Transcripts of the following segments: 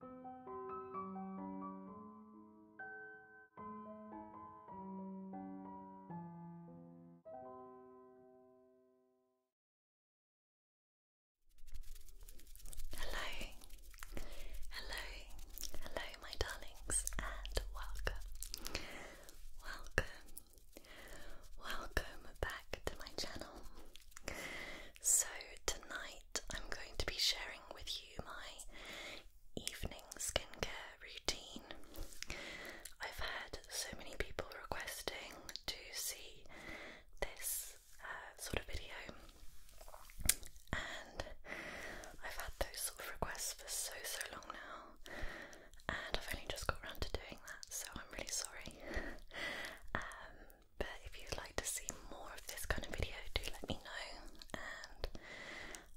Hello, hello, hello, my darlings, and welcome, welcome, welcome back to my channel. So, tonight I'm going to be sharing with you my evening skincare routine. I've had so many people requesting to see this uh, sort of video, and I've had those sort of requests for so so long now, and I've only just got around to doing that, so I'm really sorry. Um, but if you'd like to see more of this kind of video, do let me know. And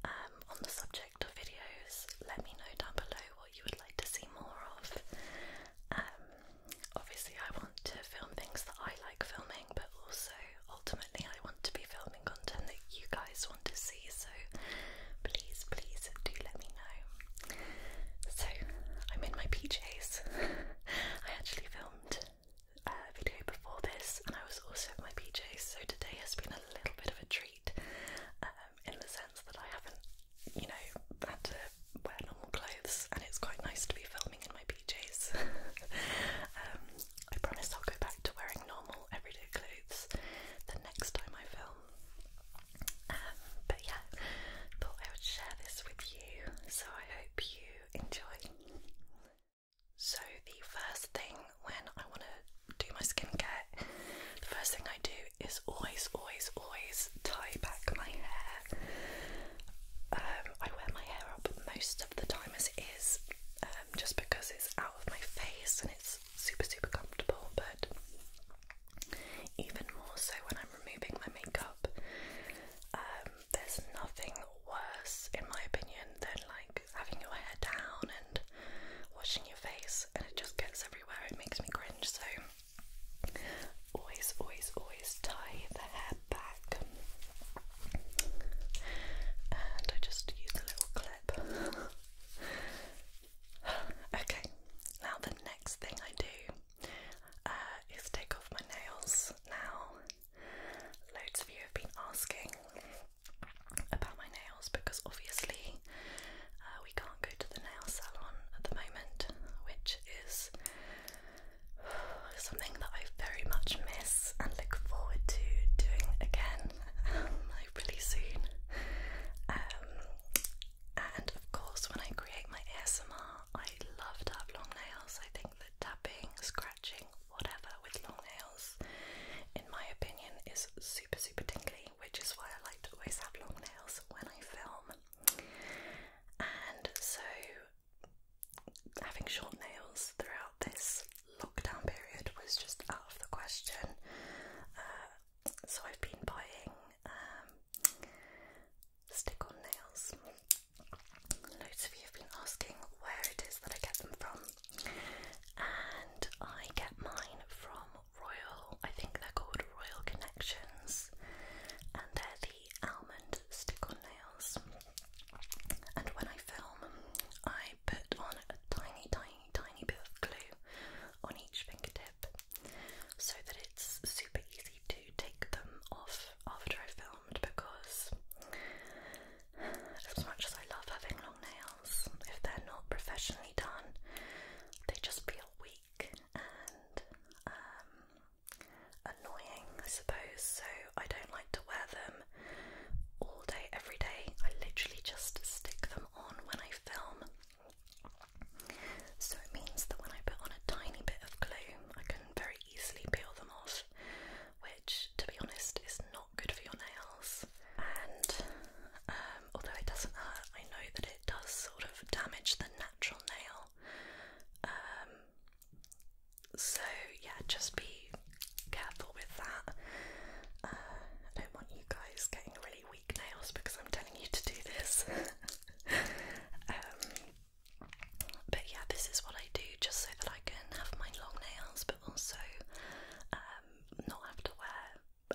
um, on the subject of videos, let me know down below what you would like to see more of. Um, obviously, I want to film things that I like filming, but also ultimately, I want to be filming content that you guys want to see. So please, please do let me know. So I'm in my PJs. I actually filmed uh, video before this, and I was also in my PJs, so today has been a little bit of a treat um, in the sense that I haven't, you know, had to wear normal clothes, and it's quite nice to be filming in my PJs. Um, I promise I'll go back to wearing normal everyday clothes the next time I film. Um, but yeah, thought I would share this with you, so I hope you enjoy. So, the first thing when I want to do my skincare, the first thing I do is always, always, always tie back my hair. Um, I wear my hair up most of the time as it is, um, just because it's out of my face and it's super, super comfortable, but even more so when I'm removing my makeup. Um, there's nothing worse, in my opinion, than like having your hair down and washing your face, and it just gets everywhere. It makes me cringe. So always, always, always tie the hair back, and I just use a little clip. okay, now the next thing I do uh, is take off my nails now. Loads of you have been asking about my nails because obviously uh, we can't go to the nail salon at the moment, which is something that I very much miss and look forward to doing again, really um, soon. Um, and of course, when I create my ASMR, I love to have long nails. I think that tapping, scratching, whatever with long nails, in my opinion, is super, super tingly, which is why I like to always have long nails when I film. And so, having short nails throughout this lockdown period was just out of the question. Uh, so, I've been buying um, stick on nails. Loads of you have been asking where it is that I get them from, and I get mine from Royal, I think they're called Royal Connections, and they're the almond stick on nails. And when I film, I put on a tiny, tiny, tiny bit of glue on each fingertip so that it's super easy to take them off after I film because as much as I love having long nails, if they're not professionally done, they just feel weak and um, annoying, I suppose. So I don't like to wear them all day, every day. I literally just stick them on when I film. So it means that when I put on a tiny bit of glue, I can very easily peel them off, which, to be honest, is not good for your nails. And um, although it doesn't hurt, I know that it does sort of damage the natural nail. Um, so, yeah, just be careful with that. Uh, I don't want you guys getting really weak nails because I'm telling you to do this. Um, but yeah, this is what I do just so that I can have my long nails, but also um, not have to wear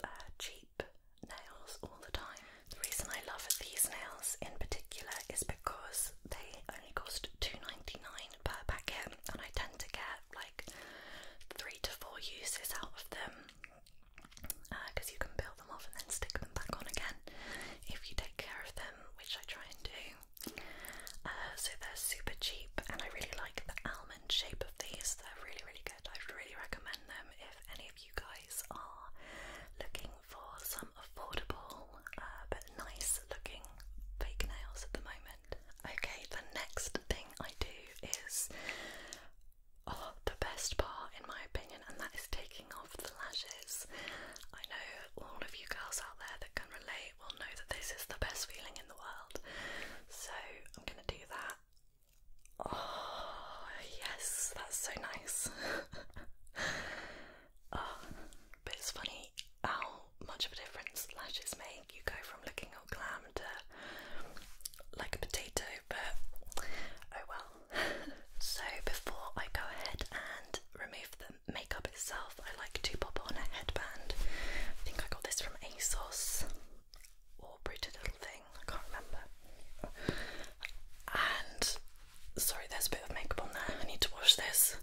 uh, cheap nails all the time. The reason I love these nails in particular is because they only cost two ninety nine per packet, and I tend to get like three to four uses out of them because uh, you can peel them off and then stick them back on again if you take care of them, which I try and do. Uh, so they're super cheap, and I really like the almond shape of these. They're really, really good. I would really recommend them if any of you guys are looking for some affordable uh, but nice looking fake nails at the moment. Okay, the next thing I do is oh, the best part, in my opinion, and that is taking off the lashes. I know all of you girls out there that can relate will know that this is the best feeling in the world. So I'm gonna do that. Oh, yes, that's so nice. oh, but it's funny how much of a difference lashes make. You go from looking all glam to like a potato, but oh well. so, before I go ahead and remove them, makeup itself, I like to pop on a headband. I think I got this from ASOS or Pretty Little Thing, I can't remember. And sorry, there's a bit of makeup on there, I need to wash this.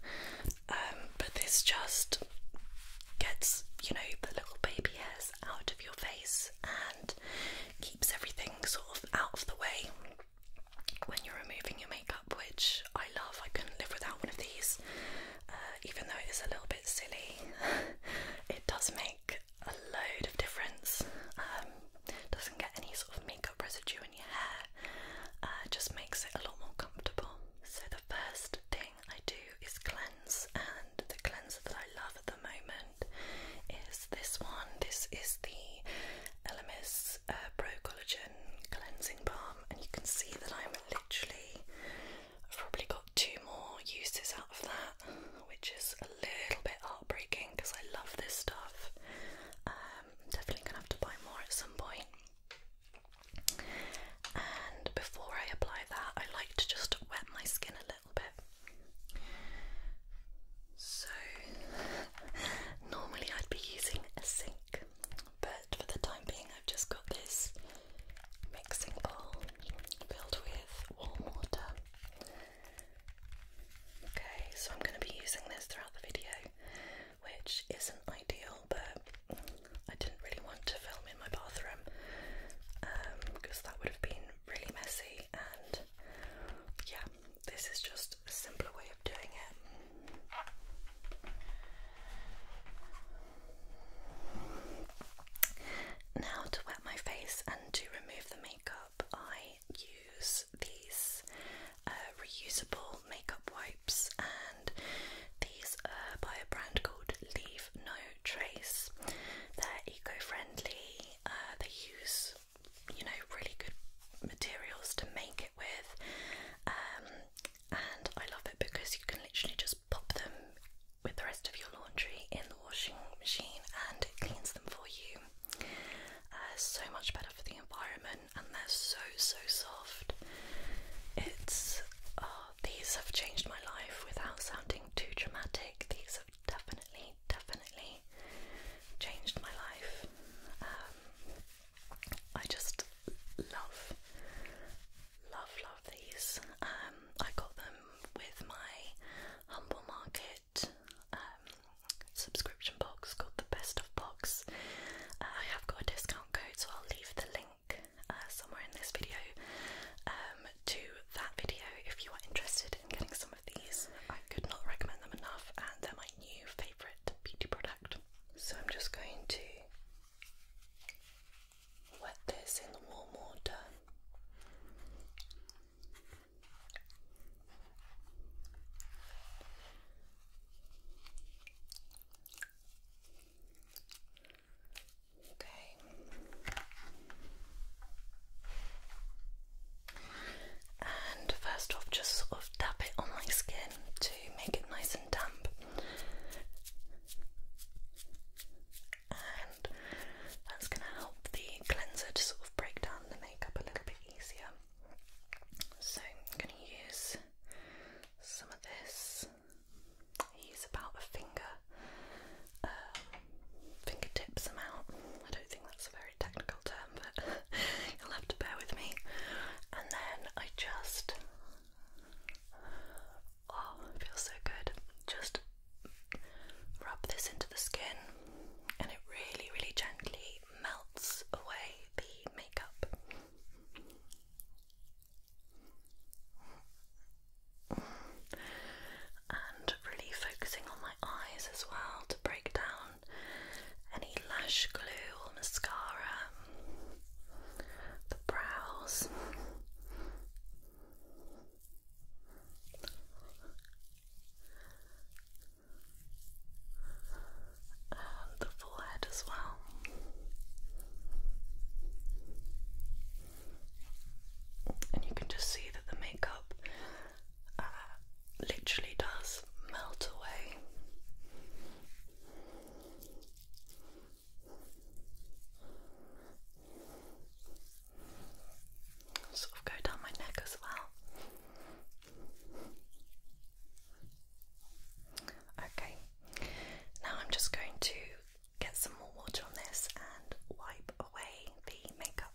Um, but this just gets, you know, the little baby hairs out of your face and keeps everything sort of out of the way when you're removing your makeup, which I love. I couldn't live without one of these, uh, even though it is a little bit silly. it does make a load of difference. Um, doesn't get any sort of makeup residue in your hair. Uh, just makes it a lot more comfortable. So the first thing I do is cleanse, and the cleanser that I love at the moment is this one. This is the Elemis Pro Collagen Cleansing Balm, and you can see that I'm literally, I've probably got two more uses out of that, which is a little bit heartbreaking because I love this stuff. I'm um, definitely gonna have to buy more at some point. And before I apply that, I like to just wet my skin a little bit. So, normally I'd be using a sink but for the time being, I've just got this mixing bowl filled with warm water. Okay, so I'm going to be using this throughout the video, which isn't ideal, but I didn't really want to film in my bathroom because um, that would have been really messy. And yeah, this is just a simpler way of doing it. Now, to wet my face and to remove the makeup, I use these uh, reusable makeup wipes, and these are uh, by a brand called Leave No Trace. They're eco friendly, uh, they use you know, really good materials to make with. Um, and I love it because you can literally just pop them with the rest of your laundry in the washing machine and it cleans them for you. Uh, so much better for the environment, and they're so so soft. It's oh, these have changed my life without sounding too dramatic. These have definitely, definitely changed my life. Um, I just love, love, love these. Um, I got them with my Humble Market um, subscription box called the Best of Box. Uh, I have got a discount code, so I'll leave the link uh, somewhere in this video um, to that video if you are interested in getting some of these. I could not recommend them enough, and they're my new favourite beauty product. So I'm just going to wet this in the warm water. Okay and first off just sort of dab it on my skin to make it nice and damp and that's going to help the cleanser to sort of break down the makeup a little bit easier so I'm going to use some of this use about a finger uh, fingertips amount I don't think that's a very technical term but you'll have to bear with me. And then I just, oh, feels so good. Just rub this into the skin, and it really, really gently melts away the makeup. And really focusing on my eyes as well to break down any lash glue or mascara, the brows. the forehead as well. And you can just see that the makeup uh, literally does melt away. Sort of go down my neck as well. Okay, now I'm just going to get some more water on this and wipe away the makeup.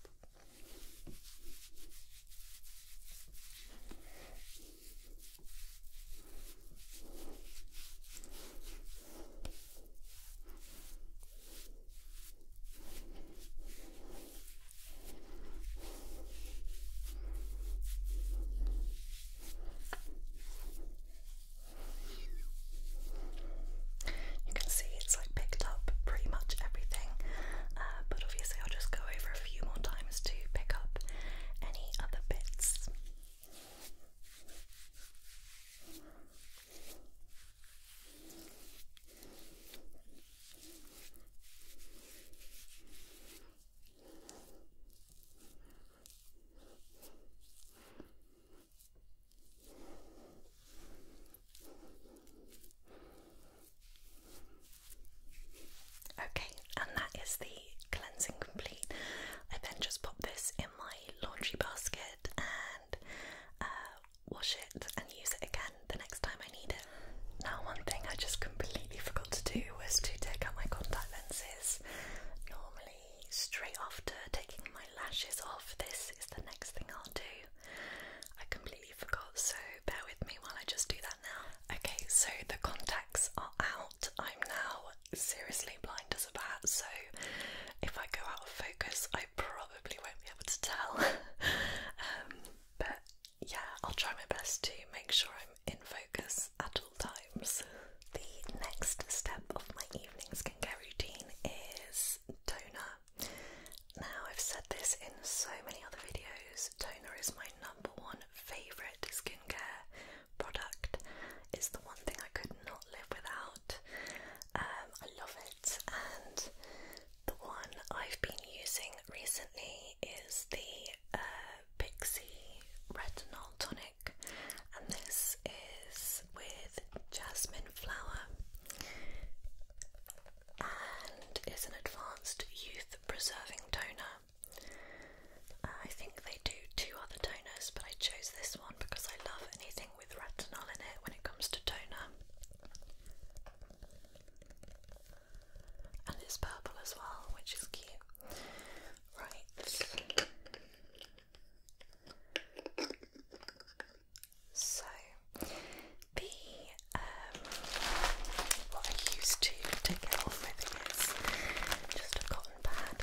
You can see it's like picked up pretty much everything, uh, but obviously I'll just go over a few more times to pick up any other bits. Okay, and that is the cleansing complete. I then just pop this in my laundry basket and uh, wash it and use it again the next time I need it. Now, one thing I just completely forgot to do was to take out my contact lenses. Normally, straight after taking my lashes off, this is the next thing I'll do. I completely forgot, so bear with me while I just do that. Okay, so the contacts are out. I'm now seriously blind as a bat, so if I go out of focus, I probably won't be able to tell. Um, but yeah, I'll try my best to make sure I'm in focus at all times. The next step of my evening skincare routine is toner. Now, I've said this in so many other videos, toner is my number one favorite skincare product. is the one thing I could not live without. Um, I love it, and the one I've been using recently is the uh, Pixie Retinol Tonic, and this is with jasmine flower and is an advanced youth preserving toner. Uh, I think they do two other toners, but I chose this one because I love anything with retinol in it when it comes to toner. And it's purple as well, which is cute. Right. So, the um, what I used to to get off my fingers, just a cotton pad.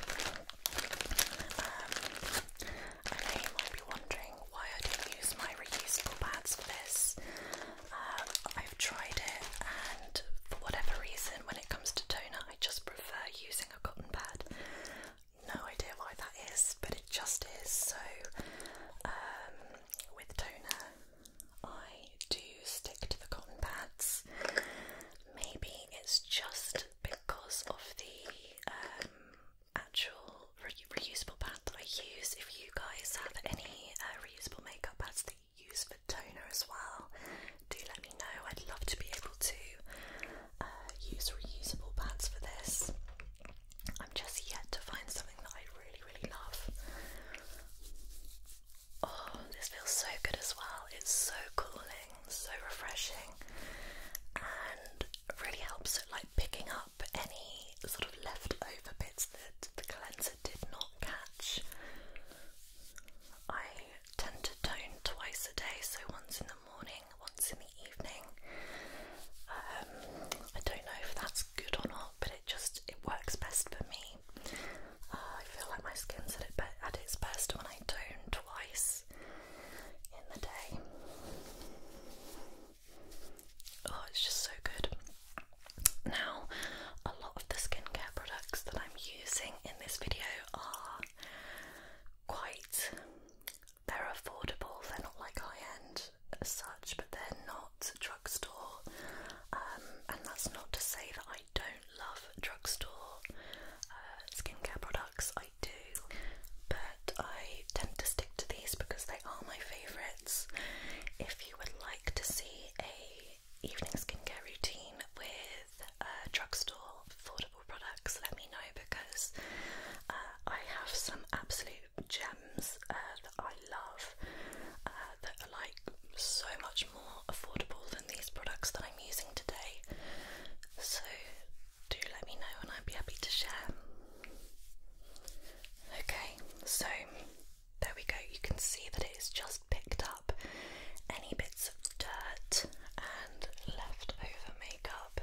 Um, you might be wondering why I don't use my reusable pads for this. Um, I've tried it, and for whatever reason, when it comes to toner, I just prefer using a cotton pad. No idea why that is, but it just is. So, um, with toner, I do stick to the cotton pads. Maybe it's just because of the um, actual reusable pad that I use. If you guys have any uh, reusable makeup pads that you use for toner as well, do let me know. I'd love to be able to uh, use reusable pads for this. I'm just yet to find something that I really, really love. Oh, this feels so good as well. It's so cooling, so refreshing, and really helps at like picking up any sort of leftover bits that the cleanser did not catch. I tend to tone twice a day, so once in the morning, once in the evening. Um, I don't know if that's good or not, but it just it works best for me. Uh, I feel like my skin's at, its best when I tone twice in the day. Oh, it's just so good. Now, a lot of the skincare products that I'm using in this video are quite. They're affordable, they're not like high end such, but they're not drugstore, um, and that's not to say that I don't love drugstore uh, skincare products, I do, but I tend to stick to these because they are my favourites. If you would like to see a evening skincare routine with uh, drugstore affordable products, let me know because uh, I have some absolute gems uh, love uh, that are like so much more affordable than these products that I'm using today. So do let me know and I'd be happy to share. Okay, so there we go. You can see that it's just picked up any bits of dirt and leftover makeup,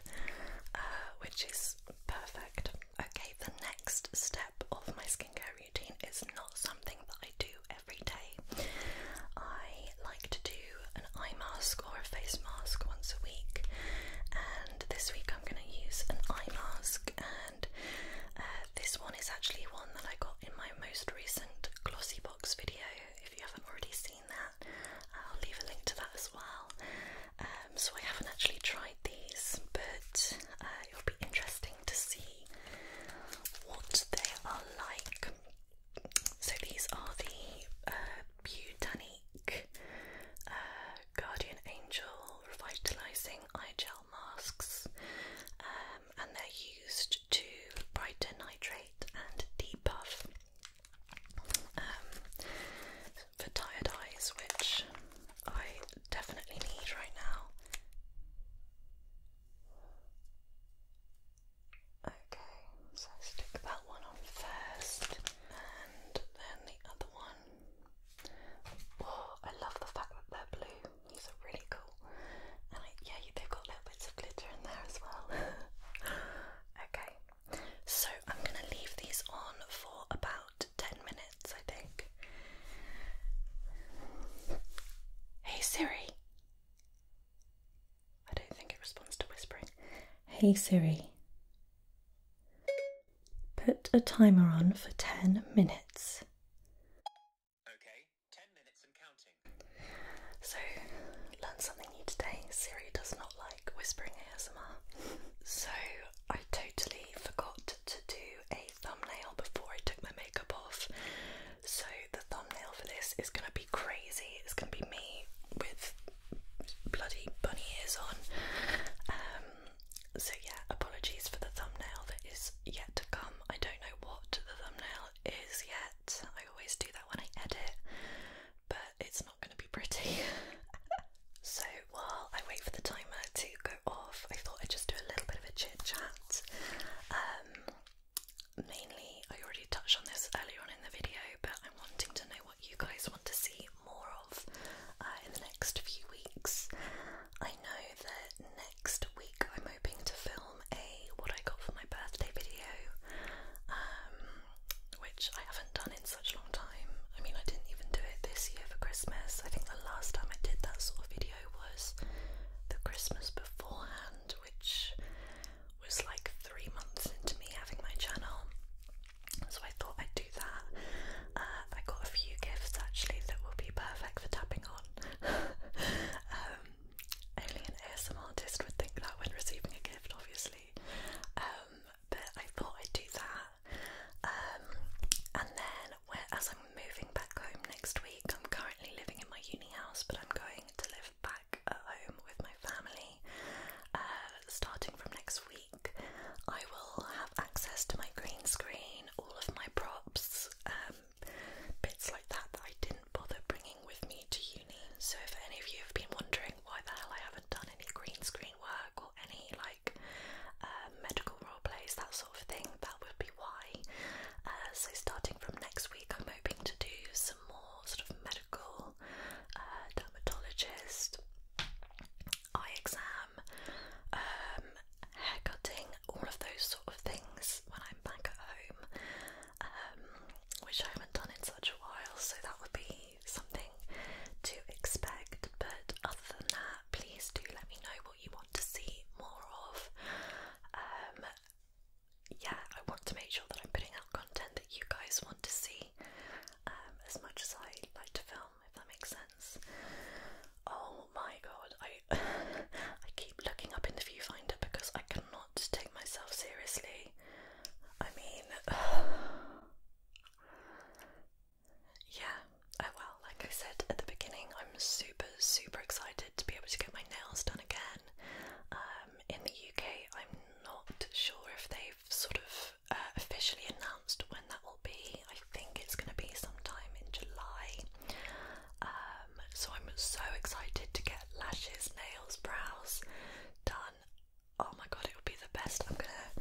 uh, which is perfect. Okay, the next step of my skincare routine. It's not something that I do every day. I like to do an eye mask or a face mask once a week, and this week I'm going to use an eye mask. And uh, this one is actually one that I got in my most recent glossy box video. If you haven't already seen that, I'll leave a link to that as well. Um, so I haven't actually tried these, but uh, it'll be interesting to see what they are like. So these are the uh, uh, Guardian Angel Revitalizing Eye Gel Masks, um, and they're used to brighten, hydrate, and debuff um, for tired eyes, which I definitely need right now. Okay, so stick that one on first, and then the other one. Oh, I love the fact that they're blue. These are really cool, and yeah, they've got little bits of glitter in there as well. okay, so I'm gonna leave these on for about ten minutes. Hey Siri. I don't think it responds to whispering. Hey Siri. Put a timer on for 10 minutes. Okay, 10 minutes and counting. So, learn something new today. Siri does not like whispering ASMR. So, I totally forgot to do a thumbnail before I took my makeup off. So the thumbnail for this is gonna be crazy. It's gonna be me with bloody bunny ears on. Um, so yeah, apologies for the thumbnail that is yet to come. I don't know what the thumbnail is yet. I always do that when I edit, but it's not gonna be pretty. so while I wait for the timer to go off, I thought I'd just do a little bit of a chit chat. Um, mainly, I already touched on this earlier on in the video, but I'm wanting to know what you guys want to see more of uh, in the next few weeks. I know that next week I'm hoping to film a what I got for my birthday video, um, which I haven't done in such a long time. I mean, I didn't even do it this year for Christmas. I think the last time I did that sort of video was the Christmas beforehand, which was like three months into me having my channel. So I thought I'd do that. Uh, I got a few gifts actually that will be perfect for tapping on. um, only an ASM artist would think that when receiving a gift, obviously. Um, but I thought I'd do that. Um, and then whereas I'm moving back home next week, I'm currently living in my uni house, but I'm going to live back at home with my family. Uh, starting from next week, I will have access to my green screen, all of my props, um, bits like that that I didn't bother bringing with me to uni. So, if any of you have been wondering why the hell I haven't done any green screen work or any like uh, medical role plays, that sort of thing, that would be why. Uh, so, starting from next week, I'm hoping to do some more sort of medical, uh, dermatologist, eye exam, um, hair cutting, all of those sort of things when I'm back at home, um, which I haven't done in such a while, so that would be something to expect. But other than that, please do let me know what you want to see more of. Um, yeah, I want to make sure that I'm putting out content that you guys want to see um, as much as I like to film, if that makes sense. Oh my god, I I keep looking up in the viewfinder because I cannot take myself seriously. I mean, Yeah, I will. Like I said at the beginning, I'm super, super excited to be able to get my nails done again. Um, in the UK, I'm not sure if they've sort of uh, officially announced when that will be. I think it's going to be sometime in July. Um, so I'm so excited to get lashes, nails, brows done. Oh my god, it would be the best. I'm gonna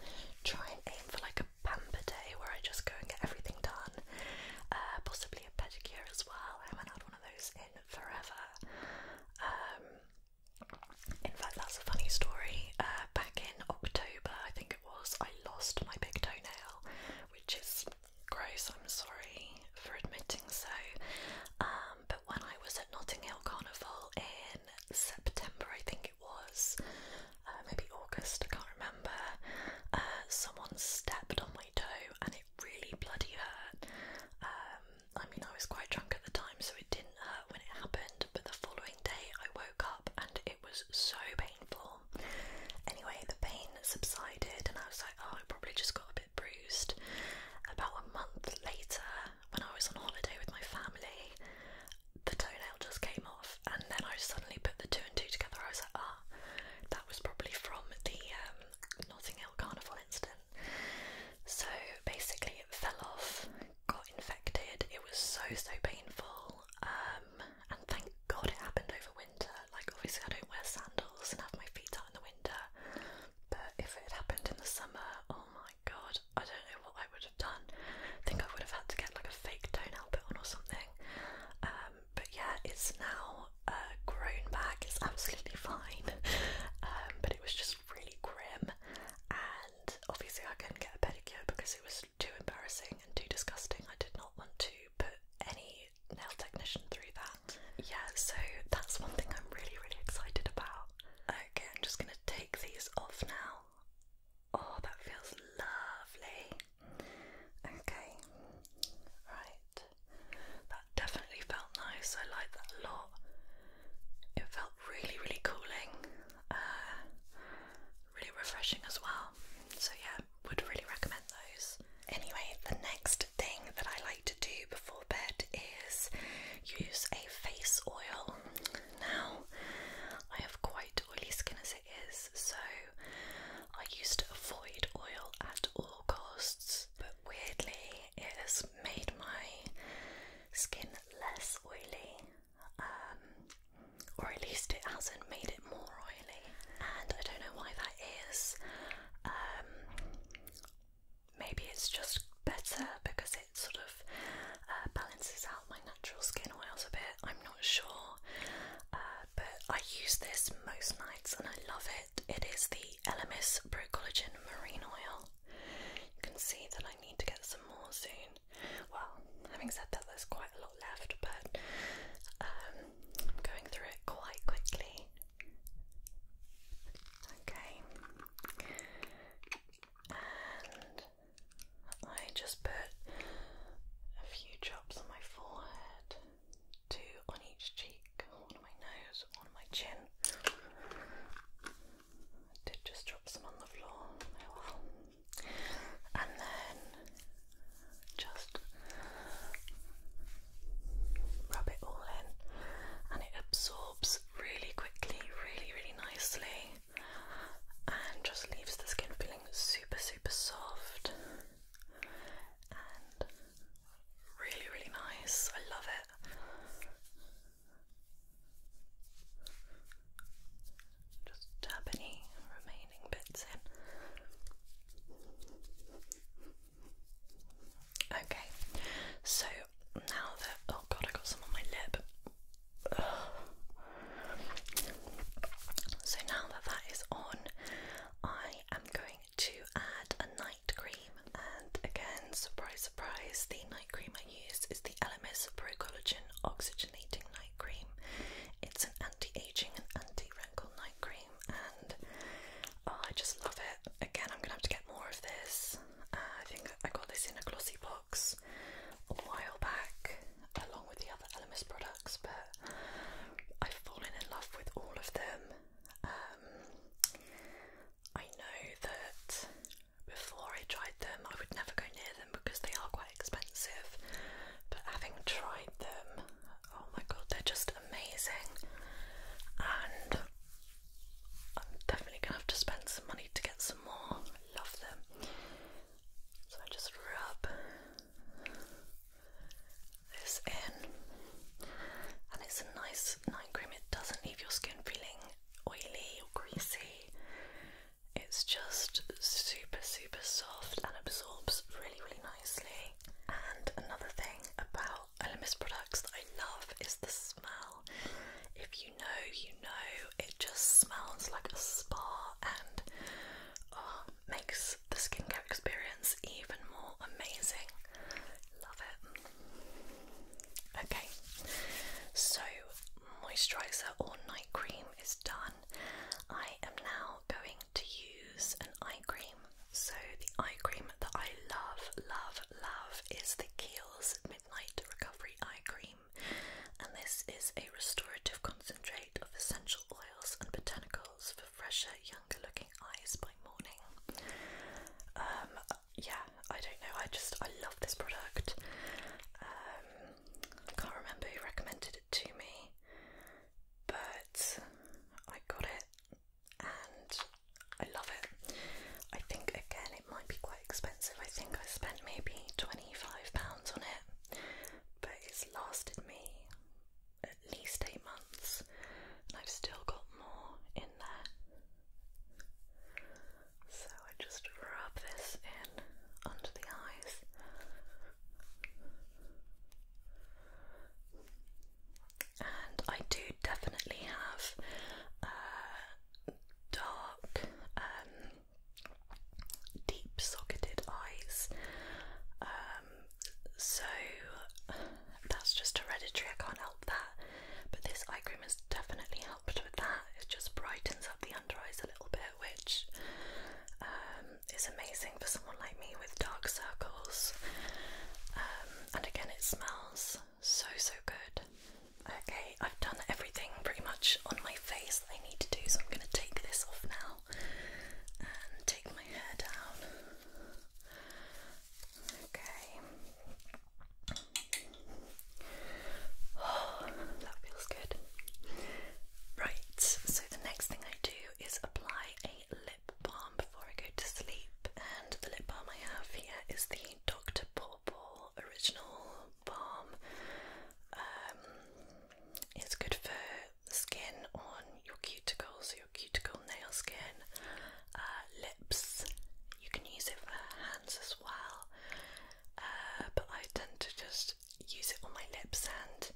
try and aim for like a pamper day where I just go and get everything done. Uh, possibly a pedicure as well. I haven't had one of those in forever. Um, in fact, that's a funny story. Uh, back in October, I think it was, I lost my big toenail, which is gross. I'm sorry for admitting so. Um, but when I was at Notting Hill Carnival in September, I think it was, uh, maybe August, I can't remember. Uh, someone stepped on my toe and it really bloody hurt. Um, I mean, I was quite drunk at the time, so it didn't hurt when it happened, but the following day I woke up and it was so painful. Anyway, the pain subsided, and I was like, oh, I probably just got a bit bruised. About a month later, when I was on holiday with my family, the toenail just came off and then I suddenly put the two and two together. I was like, ah, that was probably from the um, Notting Hill Carnival incident. So basically, it fell off, got infected. It was so so painful, um, and thank God it happened over winter. Like obviously, I don't wear sandals and have my feet out in the winter, but if it had happened in the summer, oh my god, I don't know what I would have done. I think I would have had to get like a fake toenail put on or something. Um, but yeah, it's now uh, grown back. It's absolutely fine, um, but it was just really grim. And obviously, I couldn't get a pedicure because it was too embarrassing and too disgusting. I did not want to put any nail technician through that. Yeah, so that's one thing I'm really, really excited about. Okay, I'm just gonna take these off now. Oh, that feels lovely. Okay, right. That definitely felt nice. I like that a lot. It felt really, really cooling, uh, really refreshing as well. So, yeah, would really recommend those. Anyway, the next thing that I like to do before bed is use a face oil. Now, I have quite oily skin as it is. So I used to avoid oil at all costs, but weirdly, it has made my skin less oily, um, or at least it hasn't made it more oily. And I don't know why that is. Um, maybe it's just better because it sort of uh, balances out my natural skin oils a bit. I'm not sure. Um, but I use this most nights and I love it. It is the Elemis Pro Collagen Marine Oil. You can see that I need to get some more soon. Well, having said that, there's quite a lot left, but um, I'm going through it quite quickly. Okay. And I just put a few drops on my forehead, two on each cheek, one on my nose, one on my chin. did just drop some on the floor, oh And then just rub it all in, and it absorbs really quickly, really, really nicely, and just leaves the skin feeling super, super soft really, really nice. I love it. Just tap any remaining bits in. Okay, so now that oh god, I got some on my lip. So now that that is on, I am going to add a night cream. And again, surprise, surprise, the night cream I use is the LMS Pro Collagen Oxygenating Night Cream. It's an anti-aging and anti-wrinkle night cream, and oh, I just love it. Again, I'm gonna have to get more of this. Uh, I think I got this in a glossy box a while back along with the other Elemis products, but I've fallen in love with all of them. Um, I know that before I tried them, I would never go near them because they are quite expensive, but having tried them, oh my god, they're just amazing. And I'm definitely gonna have to spend some money to get some more. I love them. So I just rub this in. And it's a nice night cream, it doesn't leave your skin feeling oily or greasy. It's just super, super soft and absorbs really, really nicely. And another thing about Elemis products that I love is the smell. If you know, you know, it just smells like a spa and oh, makes the skincare experience even more amazing. Love it. Okay, so moisturizer or night cream is done. I am now going to use an eye cream. So, the eye cream that I love, love, love is the Kiehl's Midnight Recovery Eye Cream, and this is a restorative concentrate of essential oils and botanicals for fresher, younger looking eyes by morning. Um, yeah, I don't know, I just, I love this product. I um, can't remember who recommended it to me, but I got it and I love it. I think, again, it might be quite expensive. I think I spent maybe £25 on it but it's lasted me at least eight months, and I've still got more in there. So I just rub this in under the eyes. And I do definitely have uh, dark um, deep socketed eyes. Um, so that's just hereditary, I can't help that. But this eye cream has definitely helped with that. It just brightens up the under eyes a little bit, which um, is amazing for someone like me with dark circles. Um, and again, it smells so so good. Okay, I've done everything pretty much on my face that I need to do, so I'm going to take this off now and take my hair down. Okay. Oh, that feels good. Right, so the next thing I do is apply a lip balm before I go to sleep, and the lip balm I have here is the Dr. Pawpaw Original Balm. Um, it's good for the skin on your cuticles, your cuticle nail skin, uh, lips. You can use it for hands as well, uh, but I tend to just use it on my lips and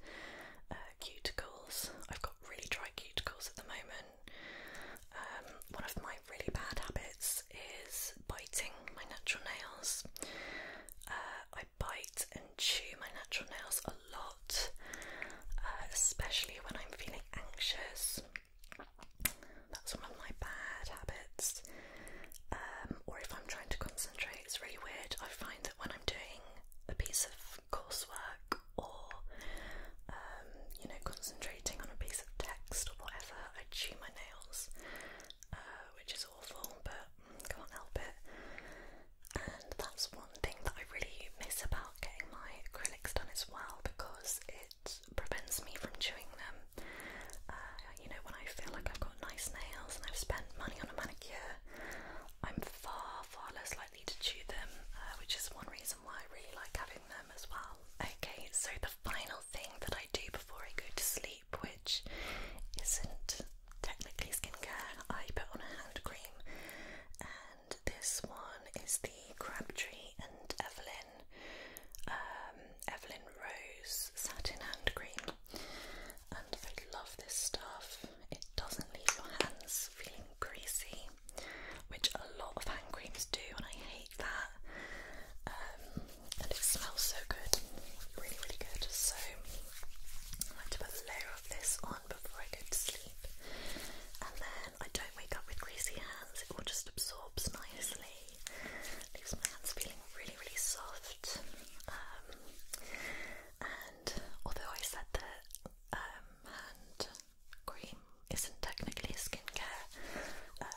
uh, cuticles. I've got really dry cuticles at the moment. Um, one of my really bad habits is biting my natural nails bite and chew my natural nails a lot, uh, especially when I'm feeling anxious. That's one of my bad habits. Um, or if I'm trying to concentrate, it's really weird. I find that when I'm doing a piece of coursework or um, you know concentrating on a piece of text or whatever, I chew my nails, uh, which is is awful, but can't help it. And that's one thing that I really miss about getting my acrylics done as well because it prevents me from chewing them. Uh, you know, when I feel like I've got nice nails and I've spent money on a manicure, I'm far, far less likely to chew them, uh, which is one reason why I really like having them as well. Okay, so the final thing that I do before I go to sleep which isn't technically skincare. I put on a hand cream, and this one is the Crabtree and Evelyn um, Evelyn Rose Satin Hand Cream. And I love this stuff. It doesn't leave your hands feeling greasy, which a lot of hand creams do, and I hate that. Um, and it smells so good, really, really good. So I like to put a layer of this on before I go to sleep, and then I don't wake up with greasy hands. It all just absorbs nicely, leaves my hands feeling really, really soft. Um, and although I said that um, hand cream isn't technically skincare uh,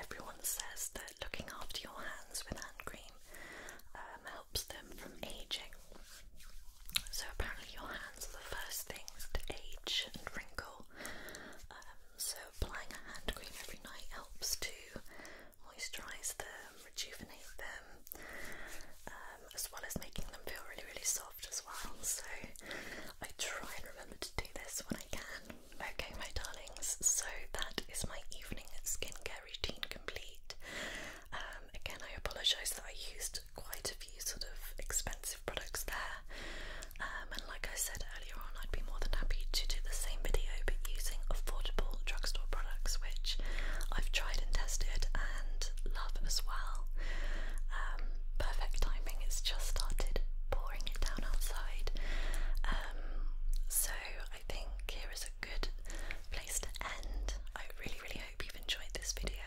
everyone says that looking after your hands with hand cream um, helps them from aging. So, apparently, your hands are the first things to age and wrinkle. Um, so, applying a hand cream every night helps to moisturise them, rejuvenate them, um, as well as making them feel really, really soft as well. So, I try and remember to do this when I can. Okay, my darlings, so that is my evening skincare routine complete. Um, again, I apologise that I used quite a few sort of expensive products there. Um, and like I said earlier on, I'd be more than happy to do the same video but using affordable drugstore products, which I've tried and tested and love as well. Um, perfect timing, it's just started pouring it down outside. so I think here is good place to end. I really, really hope you've enjoyed this video.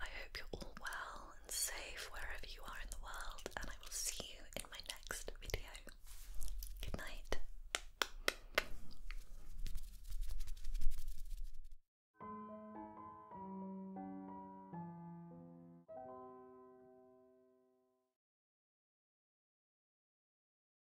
I hope you're all well and safe wherever you are in the world, and I will see you in my next video. Good night.